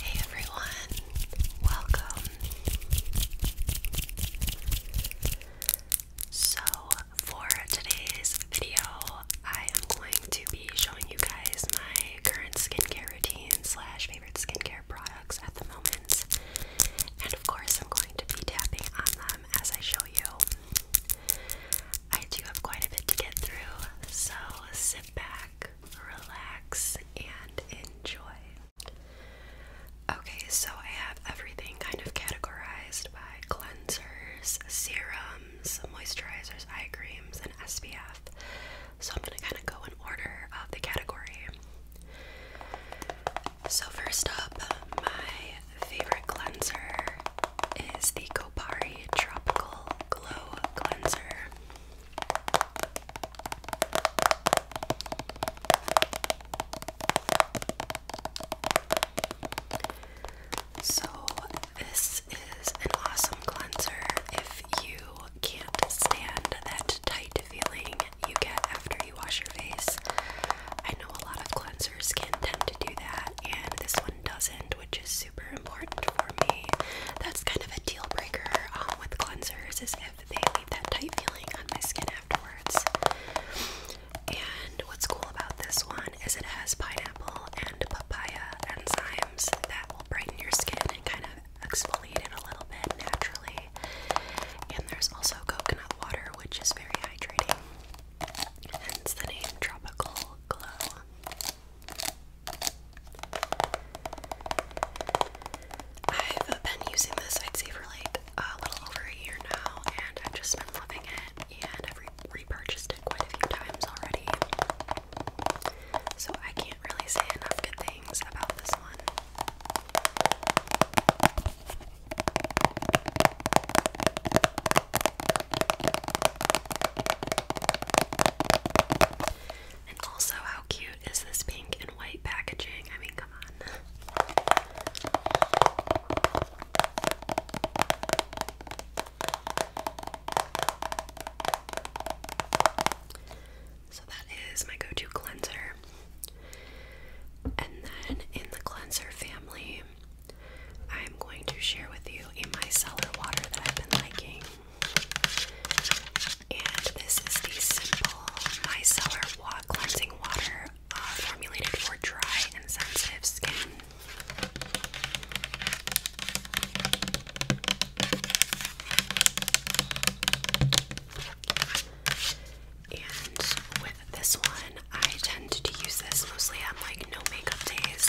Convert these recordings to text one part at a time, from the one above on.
Hey everyone, welcome. So, for today's video, I am going to be showing you guys my current skincare routine slash favorite skincare products at the moment. And of course, I'm going to be tapping on them as I show you. I do have quite a bit to get through, so sit back, relax, and enjoy. Okay, so I have everything kind of categorized by cleansers, serums, moisturizers, eye creams, and SPF. So I'm going to kind of go in order of the category. So, first up, my favorite cleanser is the Kopari Tropical Glow Cleanser. So, this is an awesome cleanser if you can't stand that tight feeling you get after you wash your face. I know a lot of cleansers can tend to do that, and this one doesn't, which is super super important for me. That's kind of a deal breaker um, with cleansers is if they leave that tight feeling on my skin afterwards. And what's cool about this one is it has pineapple and papaya enzymes that will brighten your skin and kind of exfoliate it a little bit naturally. And there's also coconut water, which is very hydrating. It's the name Tropical Glow. I've been using this, I'd say, for like a little over a year now, and I've just been loving it, and I've repurchased it quite a few times already. So I can't really say enough good things about this one. And also, how cute is this pink and white packaging? I mean, come on. So, that is my go to cleanser. And then, in the cleanser family, I'm going to share with you a micellar water that I've been liking. And this is the simple micellar wa cleansing water uh, formulated for dry and sensitive skin. And with this one, I tend to use this mostly on like no makeup days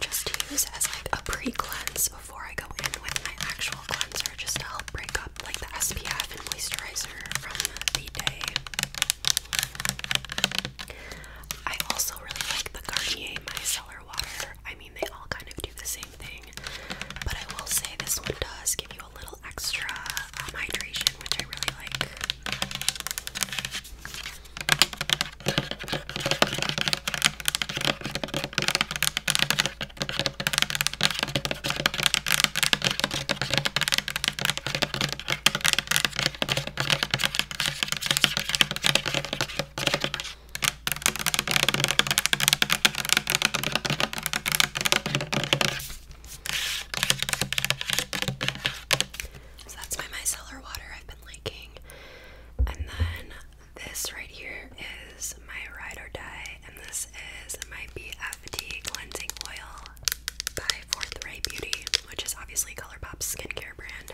just use as like a pre-cleanse before I go in with my actual cleanser just to help break up like the SPF and moisturizer from the day. I also really like the Garnier Micellar Water. I mean, they all kind of do the same thing, but I will say this one does give you a little extra um, hydration, which I really like. So that's my micellar water I've been liking. And then this right here is my ride or die, and this is my BFT cleansing oil by Fourth Ray Beauty, which is obviously ColourPop's skincare brand.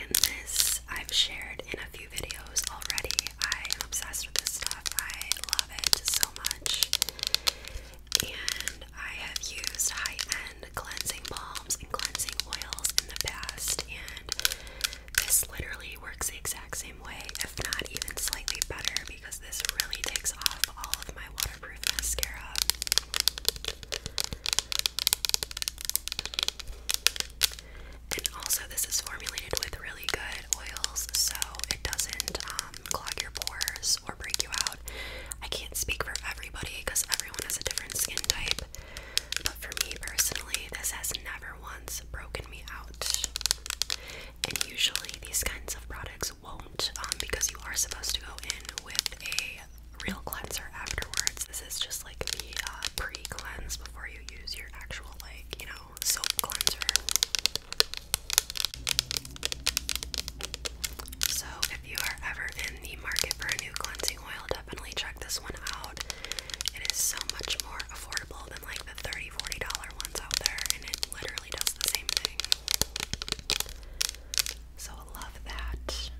And this I've shared in a few videos already. I am obsessed with this stuff. I love it so much. And I have used high-end cleansing balm and cleansing oils in the past, and this literally works the exact same way, if not even slightly better, because this really takes off all of my waterproof mascara. And also, this is formulated with really good oils, so it doesn't um, clog your pores or break you out. I can't speak for everybody because everyone has a different skin type, but for me personally, this has never once broken me out. And usually, these kinds of products won't um, because you are supposed to go in with a real cleanser afterwards. This is just like the uh, pre cleanse before you use your actual, like, you know, soap cleanser. So, if you are ever in the market for a new cleanse cleansing oil, definitely check this one out. It is so much more affordable than like the $30, $40 ones out there, and it literally does the same thing. So I love that.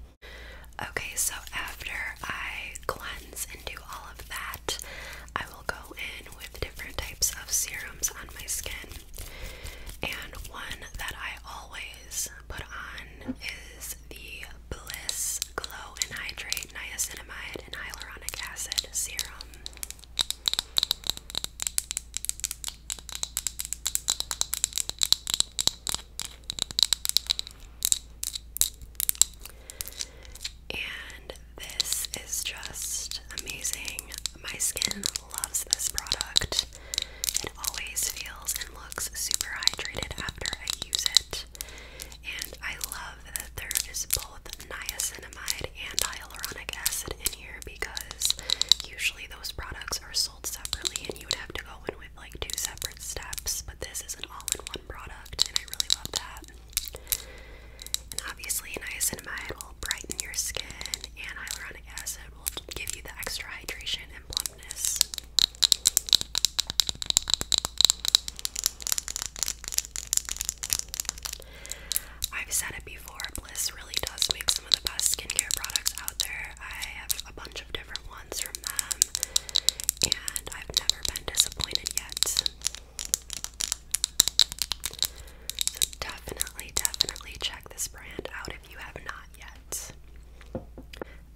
Okay, so after I cleanse and do all of that, I will go in with different types of serums on my skin. And one that I always put on is the Bliss Glow and Hydrate Niacinamide and Hyaluronic Acid Serum. And this is just amazing. My skin loves this product it. always feels and looks super hydrated after I use it. And I love that there is both niacinamide and hyaluronic acid in here because usually those products are sold separately and you would have to go in with like two separate steps, but this is an all in one product and I really love that. And obviously, niacinamide will brighten your skin, and hyaluronic acid will give you the extra hydration and plumpness. I've said it before, Bliss really does make some of the best skincare products out there. I have a bunch of different ones from them, and I've never been disappointed yet. definitely, definitely check this brand out if you have not yet.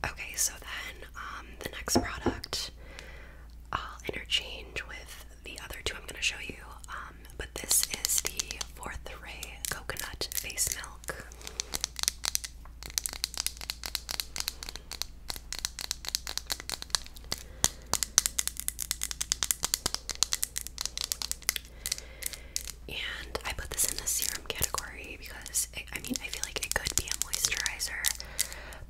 Okay, so then um, the next product I'll interchange with the other two I'm going to show you. Um, but this is the Fourth Ray Coconut Face Milk and I put this in the serum category because I mean I feel like it could be a moisturizer,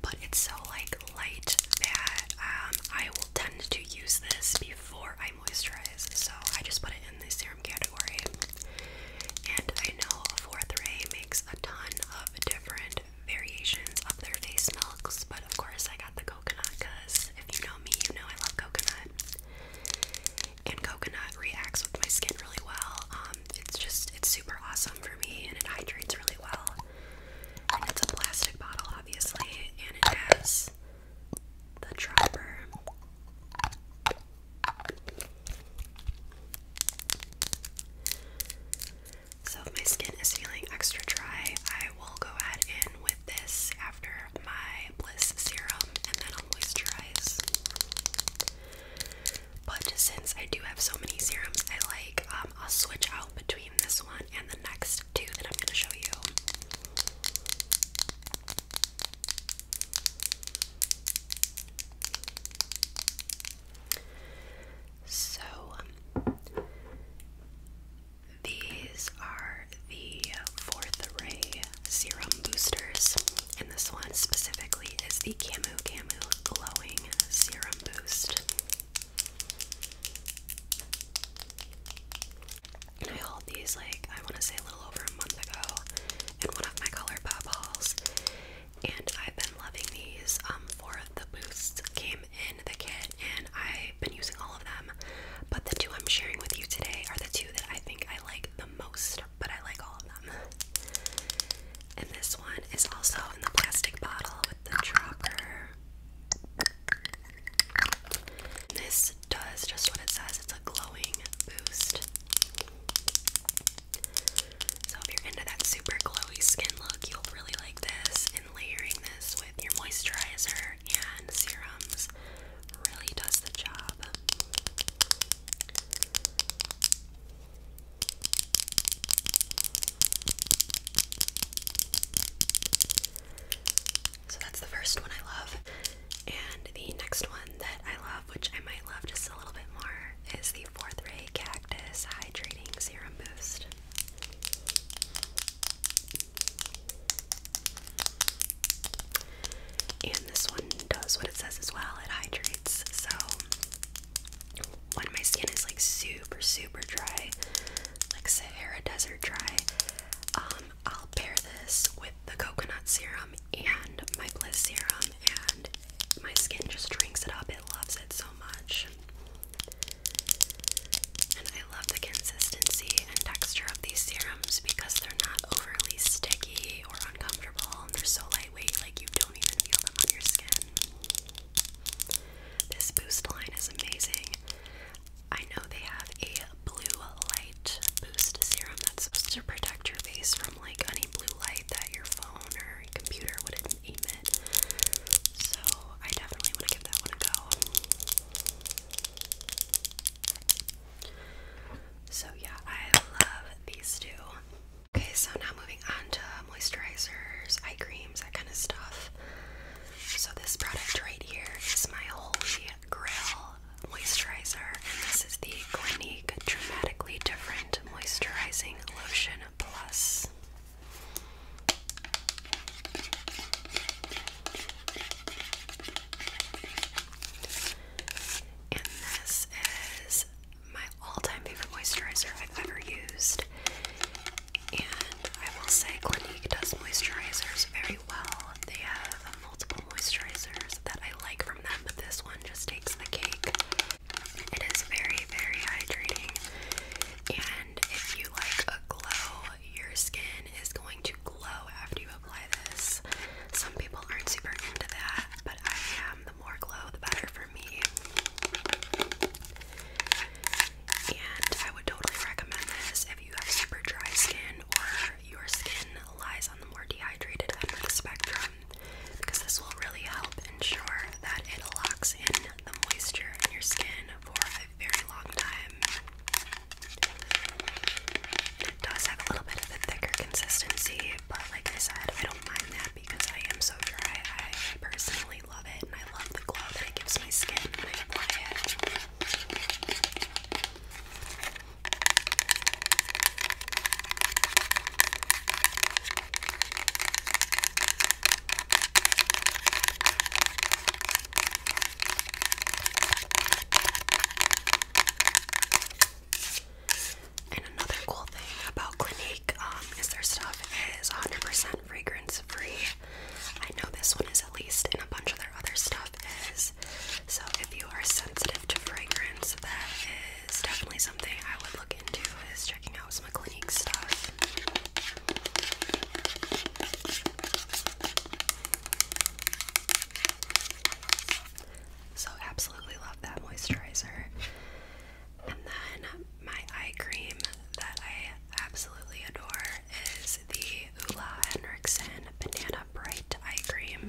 but it's so like light that um, I will tend to use this before I moisturize. So I just put it in the serum category, and I know Fourth Ray makes a ton of different variations of their face milks, but of course I got the coconut because if you know me, you know I love coconut and coconut reacts with my skin really well. Um, it's just it's super awesome for me, and it hydrates really well. And it's a plastic bottle, obviously, and it has the dropper. So if my skin is feeling extra dry, I will go ahead in with this after my Bliss serum and then I'll moisturize. But since I do have so many serums I like, um, I'll switch out between this one and the next two that I'm going to show you. So, these are the fourth array serum boosters. And this one specifically is the Camu Camu Glowing Serum Boost. And I hauled these like I want to say a little over a month ago in one of my color pop hauls, and I've been loving these. Um, four the boosts came in the kit, and I've been using all of them. But the two I'm sharing with you today are the two that I think I like the most but I like all of them. And this one is also in the plastic bottle with the dropper. This does just what it says, it's a glowing boost. So if you're into that super glowy skin look, you'll really like this. And layering this with your moisturizer and serums really does the job. So that's the first one I love. And the next one that I love, which I might love just a little bit more, is the Fourth Ray Cactus Hydrating Serum Boost. And this one does what it says as well, it hydrates. So when my skin is like super, super dry, like Sahara Desert dry, um, I'll pair this with the coconut serum and my bliss serum and my skin just drinks it up. It loves it so much. And I love the consistency and texture of these serums because they're not overly sticky they're so lightweight, like you don't even feel them on your skin. This boost line is amazing. I know they have a blue light boost serum that's supposed to protect your face from like any blue light that your phone or computer wouldn't emit. So I definitely want to give that one a go. So yeah, I love these two. Okay, so now moving on to moisturizers, eye creams, that kind of stuff. So this product right here is my holy grail moisturizer, and this is the Clinique Dramatically Different Moisturizing Lotion Plus. And this is my all-time favorite moisturizer I've ever used. And I will say Clinique does moisturizers very well. They have multiple moisturizers that I like from them, but this one just takes the cake. It is very, very hydrating. And if you like a glow, your skin is going to glow after you some people aren't super into that, but I am. The more glow, the better for me. And I would totally recommend this if you have super dry skin or your skin lies on the more dehydrated end of the spectrum, because this will really help ensure that it locks in the moisture in your skin for a very long time does have a little bit of a thicker consistency, but like I said, I don't mind that because I am so dry. I personally love it, and I love the glow that it gives my skin and another cool thing about Clinique um, is their stuff is 100% fragrance free. I know this one is at least, and a bunch of their other stuff is. So if you are sensitive to fragrance, that is definitely something I would look into is checking out some of Clinique stuff. So absolutely love that moisturizer. And then my eye cream that I absolutely adore is the Ula Hendrickson Banana Bright Eye Cream.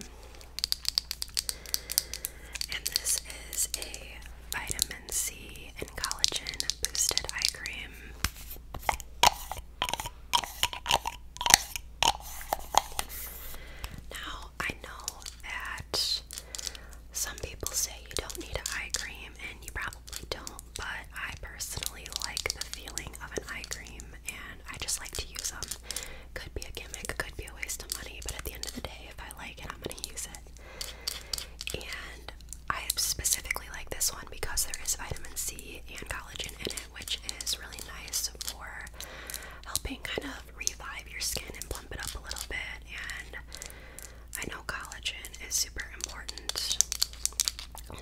And this is a vitamin C and collagen boosted eye cream. Now, I know that some people say you don't need an eye cream, and you probably don't, but I personally like the feeling of an eye cream, and I just like to use them. Could be a gimmick, could be a waste of money, but at the end of the day, if I like it, I'm going to use it. And I specifically like this one because there is vitamin C and collagen in it, which is really nice for helping kind of revive your skin and plump it up a little bit. And I know collagen is super important,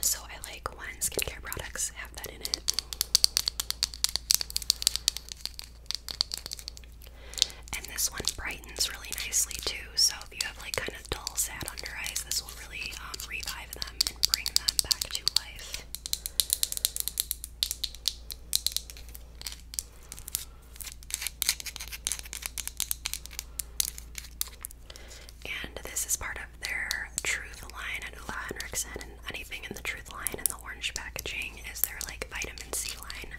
so I like when skincare products have that in it. And this one brightens really nicely too, so if you have like kind of dull, sad under eyes, this will really um, revive them and bring them back to life. And this is part of their Truth line at Ola Henriksen, and anything in the Truth line and the orange packaging is their like vitamin C line.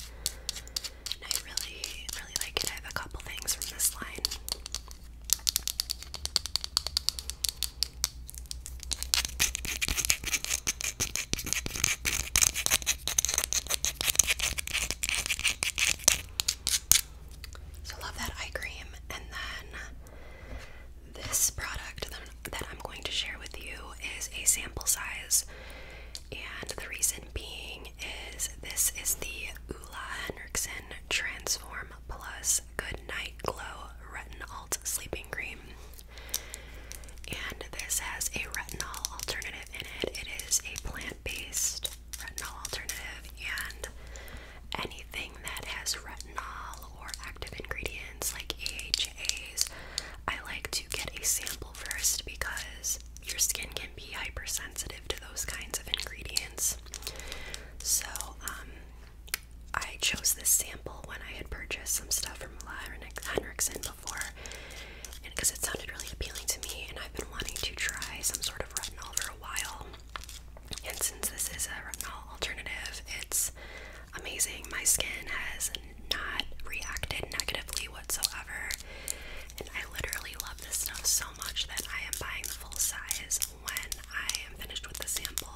I really, really like it. I have a couple things from this line. So love that eye cream, and then this product that I'm going to share with you is a sample size, and the reason being is this is the Ula Henriksen Transform Plus Good Night Glow Retinol Sleeping Cream. And this has a retinol alternative in it. It is a plant based retinol alternative, and anything that has retinol or active ingredients like AHAs, I like to get a sample first because your skin can be hypersensitive to those kinds of ingredients. So, um, I chose this sample when I had purchased some stuff from Henriksen before, and because it sounded really appealing to me, and I've been wanting to try some sort of retinol for a while. And since this is a retinol alternative, it's amazing. My skin has not reacted negatively whatsoever, and I literally love this stuff so much that I am buying the full size when I am finished with the sample.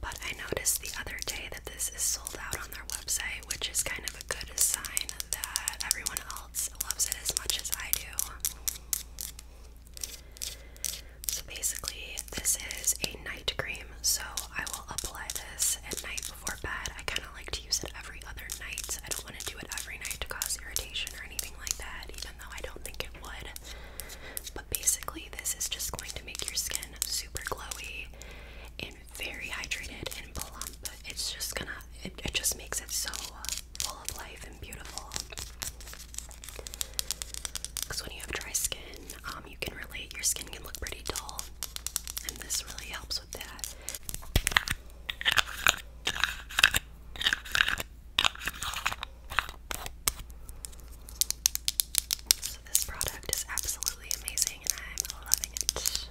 But I noticed the other day that this is sold out on their website, which is kind of a good sign that everyone else loves it as much as I do. So basically, this is a night cream, so I will apply this at night before bed. I kind of like to use it every other night. I don't want to do it every night to cause irritation or anything like that, even though I don't think it would. But basically, this is just going to make your skin super glowy and very hydrated and plump. It's just gonna, it, just makes it so full of life and beautiful. Because when you have dry skin, um, you can relate, your skin can look pretty dull, and this really helps with that. So, this product is absolutely amazing and I'm loving it.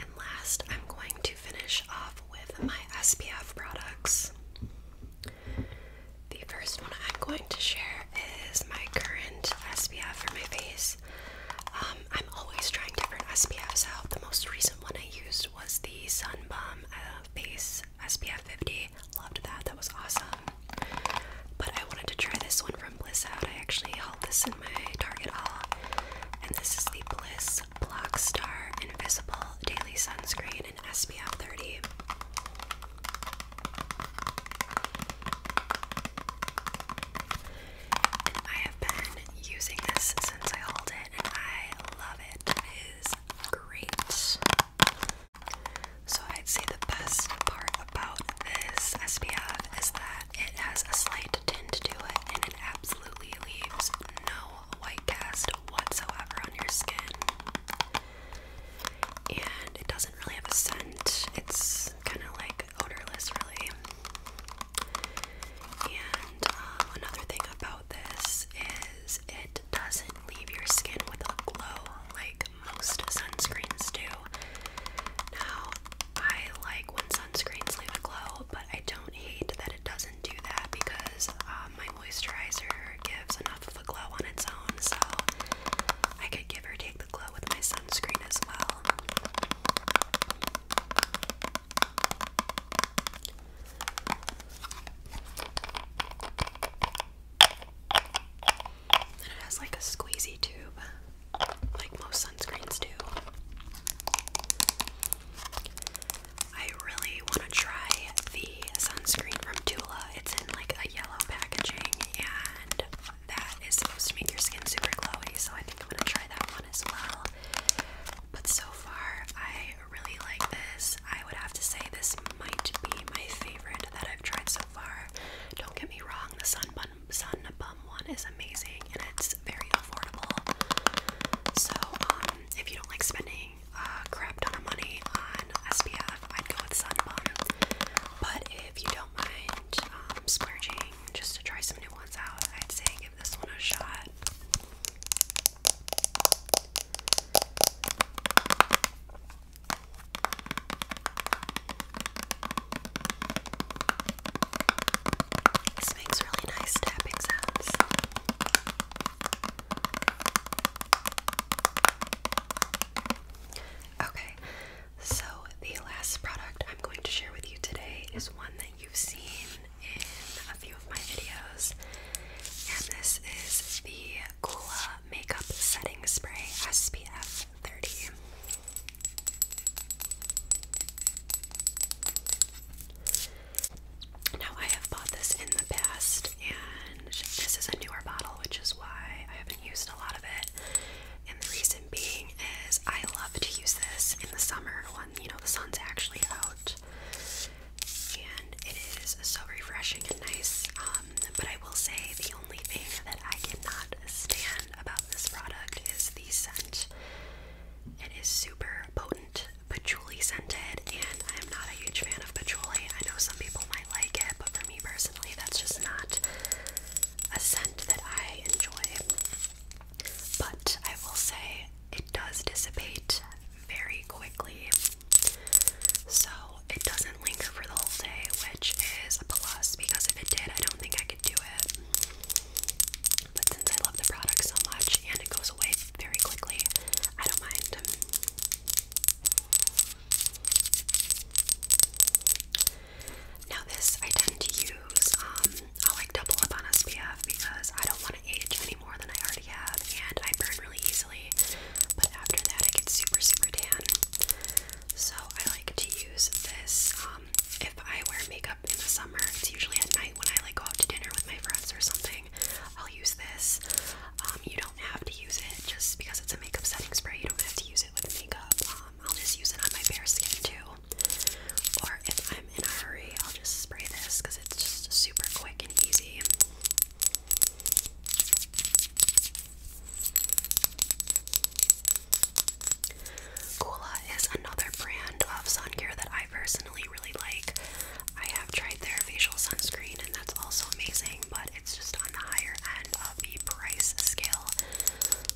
And last, I'm going to finish off with my SPF products. The first one I'm going to share is my current SPF for my face. Um, I'm always trying different SPFs out. The most recent one I used was the Sun Balm uh, SPF 50. Loved that. That was awesome. But I wanted to try this one from Bliss Out. I actually held this in my Target haul. And this is the Bliss Block Star Invisible Daily Sunscreen in SPF 30. I have been using this since I hauled it, and I love it. It is great. So I'd say the best part about this SPF is that it has a slight tint to it and it absolutely leaves no white cast whatsoever on your skin. And it doesn't really have a scent. It's kind of like odorless really. And uh, another thing about this is it doesn't leave your skin with a glow like most sunscreens do. Now, I like when sunscreens leave a glow, but I don't hate that it doesn't do that because um, my moisturizer gives enough of a glow on its own, so I could give or take the glow with my sunscreen as well. And it has like a squeezy tube, like most sunscreens do. I really want to try the sunscreen from Tula. It's in like a yellow packaging, and that is supposed to make your skin super glowy, so I think I'm gonna try that one as well. But so far, I really like this. I would have to say this might be my favorite that I've tried so far. Don't get me wrong, the Sun Bun Sun Bum one is amazing and it's very affordable. So um, if you don't like spending a crap ton of money on SPF, I'd go with Sun Bum. But if you don't mind um, splurging just to try some new ones out, I'd say give this one a shot. This makes really nice tapping sounds. Okay, so the last product I'm going to share with you today is one that you've seen in a few of my videos, and this is the Kula Makeup Setting Spray SPF 30. Now, I have bought this in the past, and this is a newer bottle, which is why I haven't used a lot of it. And the reason being is I love to use this in the summer when, you know, the sun's actually out and it is so refreshing and nice. Um, but I will say the only thing that I cannot stand about this product is the scent. It is super potent, patchouli scented, and I am not a huge fan of patchouli. I know some people might like it, but for me personally, that's just not a scent that I enjoy. But I will say it does dissipate very quickly. So it doesn't linger for the whole day, which is a plus because if it did, I don't think I could do it. But since I love the product so much and it goes away very quickly, I don't mind. Now, this I tend to use, um, I like double up on SPF because I don't want to age any way more than I already have, and I burn really easily. But after that, I get super, super tan. So I like to use this. Um, if I wear makeup in the summer, it's usually at night when I like go out to dinner with my friends or something. I'll use this. Um, you don't have to use it just because it's a makeup setting spray. You don't have to use it with makeup. Um, I'll just use it on my bare skin too. Or if I'm in a hurry, I'll just spray this because it's just super quick and easy. Kula is another brand of sun care that I personally really like. I have tried their facial sunscreen and that's also amazing, but it's just on the higher end of the price scale.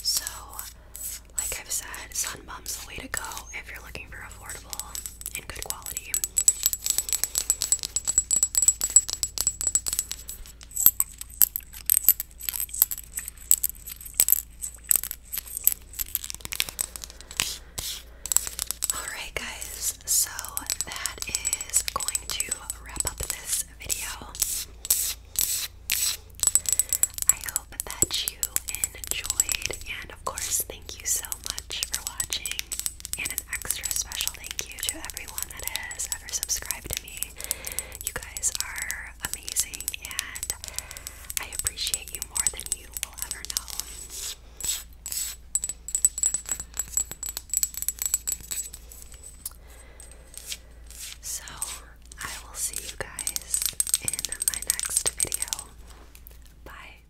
So, like I've said, Sunbum's the way to go if you're looking for affordable in good quality. Alright, guys, so that is going to wrap up this video. I hope that you enjoyed, and of course, thank you so much for watching. And an extra special thank you to everyone that has ever subscribed to me. You guys are amazing, and I appreciate you more than you will ever know. So, I will see you guys in my next video. Bye.